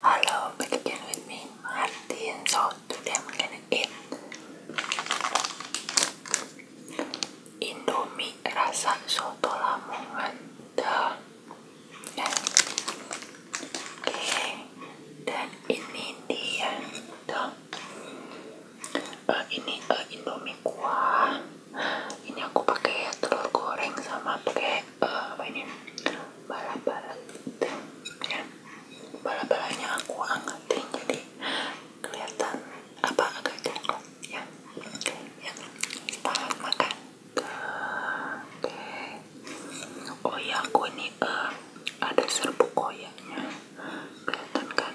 Halo, back again with me, Martin. So today I'm gonna eat Indomie rasa soto Lamongan. The, Oke, okay. dan ini dia. The, eh, ini eh, Indomie kuah. Ini aku pakai telur goreng sama pakai eh, apa ini? bala-balan ya bala-balanya aku angkatin jadi kelihatan apa agak coklat ya, ya oke ya makan oh ya aku ini eh, ada serbuk koyaknya kelihatan kan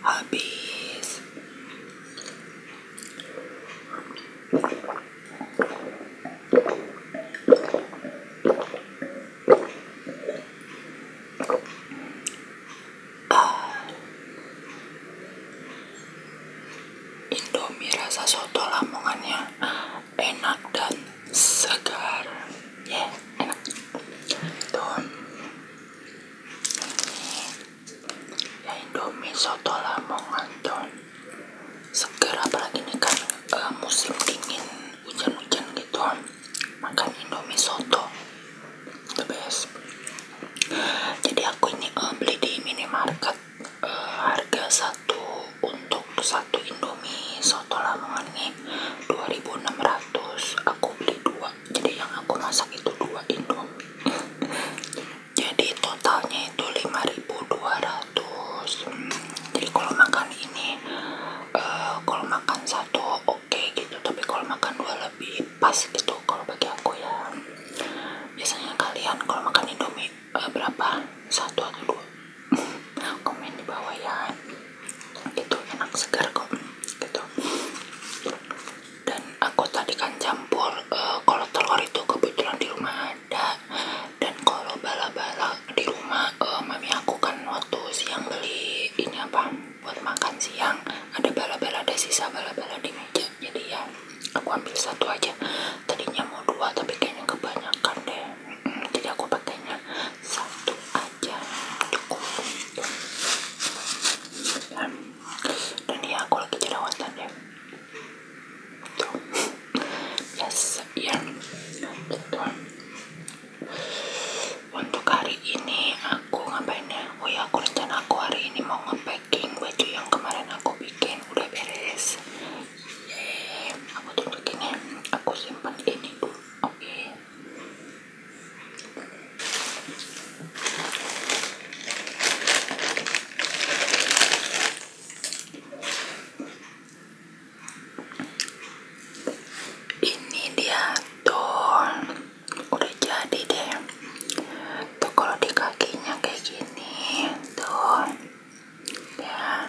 habis ah. Indomie rasa soto lamongannya enak dan segar ya yeah, enak tuh ini ya indomie soto lamongan tuh segar apalagi ini kan uh, musim dingin hujan-hujan gitu makan indomie soto the best jadi aku ini uh, beli di minimarket eh, Harga satu satu untuk satu indomie soto lamongan nih 2600 aku beli dua jadi yang aku masak itu dua indomie jadi totalnya itu 5200 hmm, jadi kalau makan ini uh, kalau makan satu oke okay gitu tapi kalau makan dua lebih pas gitu kalau bagi aku ya biasanya kalian kalau makan indomie uh, berapa satu atau dua komen di bawah ya itu enak segar kok gitu dan aku tadi kan campur eh, kalau telur itu kebetulan di rumah ada dan kalau bala-bala di rumah uh, mami aku kan waktu siang beli ini apa buat makan siang ada bala-bala ada sisa bala-bala di meja jadi ya aku ambil satu aja tadinya mau dua tapi kayaknya kebanyakan deh jadi aku pakainya satu aja cukup nah, dan ya aku lagi jerawatan ya yes ya gitu untuk hari ini aku ngapain ya oh ya aku rencana aku hari ini mau nge-packing baju yang kemarin aku bikin udah beres aku tutup gini aku simpan ini dulu oke ini dia tuh udah jadi deh tuh kalau di kakinya kayak gini tuh ya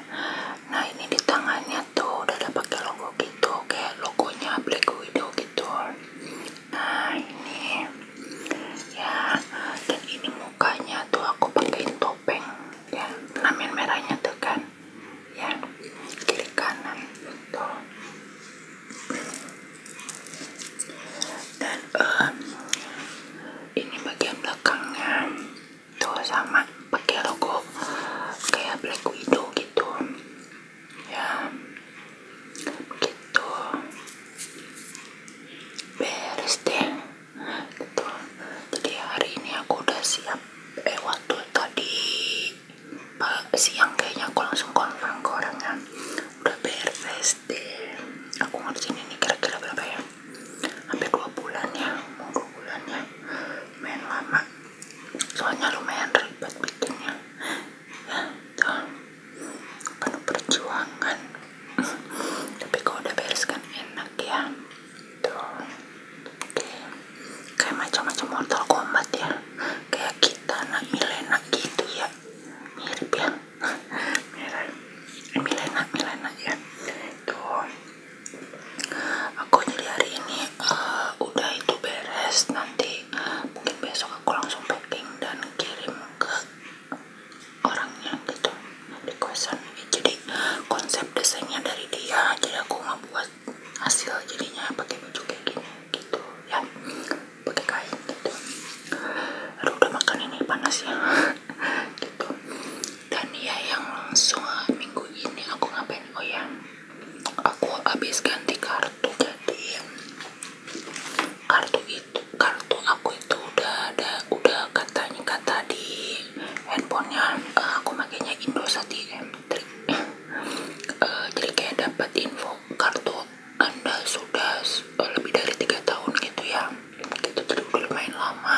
nah ini di tangannya tuh udah ada pakai logo gitu kayak logonya Black Widow gitu nah ini ya dan ini mukanya tuh aku pakein topeng ya penamen merahnya tuh kan ya kiri kanan tuh dan um, ini bagian belakangnya tuh sama pakai logo kayak Black Widow gitu ya begitu beres deh gitu jadi hari ini aku udah siap eh waktu tadi siang kayaknya aku langsung konfirm ke udah beres deh aku ngerjain ini kira-kira berapa ya hampir dua bulan ya mau dua bulan ya main lama soalnya lumayan ribet bikinnya ya tuh penuh perjuangan tapi kalau udah beres kan enak ya tuh kayak macam-macam Mortal Kombat ya kayak kita anak Milena gitu ya mirip ya Milena Milena ya tuh aku jadi hari ini eh, udah itu beres nanti mungkin besok aku langsung packing dan kirim ke orangnya gitu di jadi konsep desainnya dari dia jadi aku buat hasil jadinya pakai baju kayak gini gitu ya pakai kain gitu udah makan ini panas ya gitu dan ya yang langsung ah, minggu ini aku ngapain oh ya aku habis ganti kartu jadi kartu itu kartu aku itu udah ada udah katanya kata di handphonenya uh, aku makainya Indosat IM uh, jadi kayak dapat info kartu anda sudah eh, lebih dari tiga tahun gitu ya gitu jadi udah lumayan lama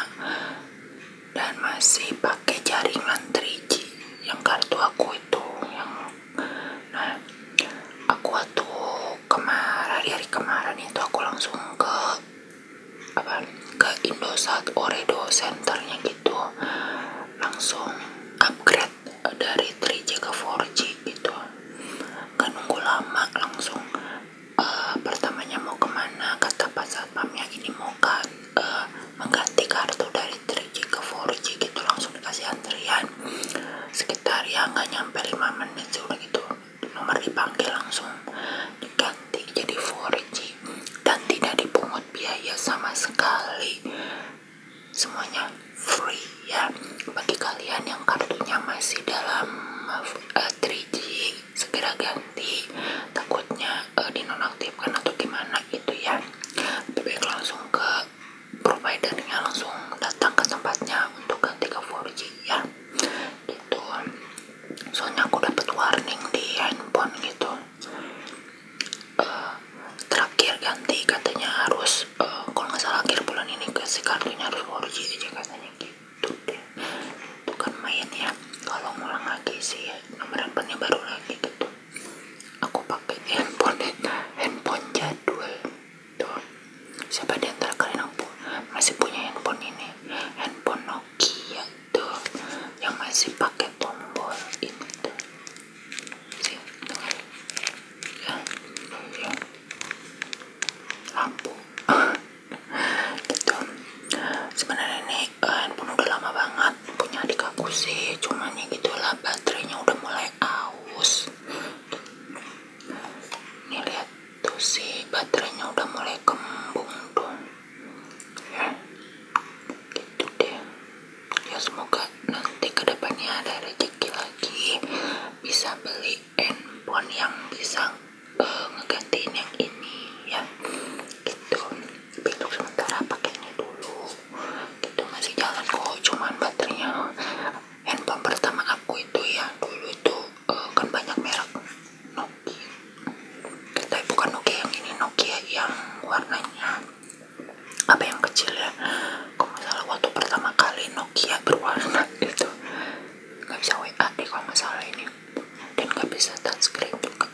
dan masih pakai jaringan 3G yang kartu aku itu yang nah aku tuh kemarin hari kemarin itu aku langsung ke apa ke Indosat Oredo Centernya gitu langsung upgrade eh, dari 3G ke 4G gitu gak nunggu lama langsung uh, pertamanya mau kemana kata pas satpamnya ini mau kan uh, mengganti kartu dari 3G ke 4G gitu langsung dikasih antrian sekitar ya nggak nyampe 5 menit sih udah gitu nomor dipanggil langsung diganti jadi 4G dan tidak dipungut biaya sama sekali semuanya free ya bagi kalian yang kartunya masih dalam uh, eh, 3G segera ganti takutnya uh, dinonaktifkan atau gimana gitu ya lebih baik langsung ke providernya langsung datang ke tempatnya untuk ganti ke 4G ya gitu soalnya aku dapat warning di handphone gitu uh, terakhir ganti katanya harus terus eh, kalau nggak salah akhir bulan ini kasih kartunya harus orji aja katanya gitu deh itu kan main ya kalau ngulang lagi sih ya, nomor handphonenya baru lagi gitu aku pakai handphone handphone jadwal tuh siapa di antara kalian aku masih punya handphone ini handphone Nokia tuh yang masih pakai tombol ini tuh Sí, tocar. Ya, ya. Lampu. gitu. Sebenarnya ini uh, handphone udah lama banget punya adik aku sih. Cuman ya gitulah baterainya udah mulai aus. Nih lihat tuh si baterainya udah mulai kembung dong. Ya. Gitu deh ya semoga nanti kedepannya ada rezeki lagi bisa beli handphone yang bisa uh, ngegantiin yang ini yang gitu bentuk sementara pakainya dulu itu masih jalan kok cuman baterainya handphone pertama aku itu ya dulu itu eh, kan banyak merek Nokia kita bukan Nokia yang ini Nokia yang warnanya apa yang kecil ya kalau masalah waktu pertama kali Nokia berwarna itu nggak bisa WA deh kalau masalah ini dan nggak bisa touchscreen juga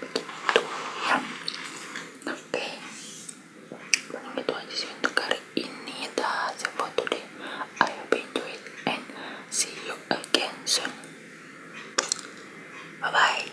begitu ya oke okay. paling itu aja sih untuk hari ini dah, it tuh deh, Ayo hope enjoy and see you again soon bye bye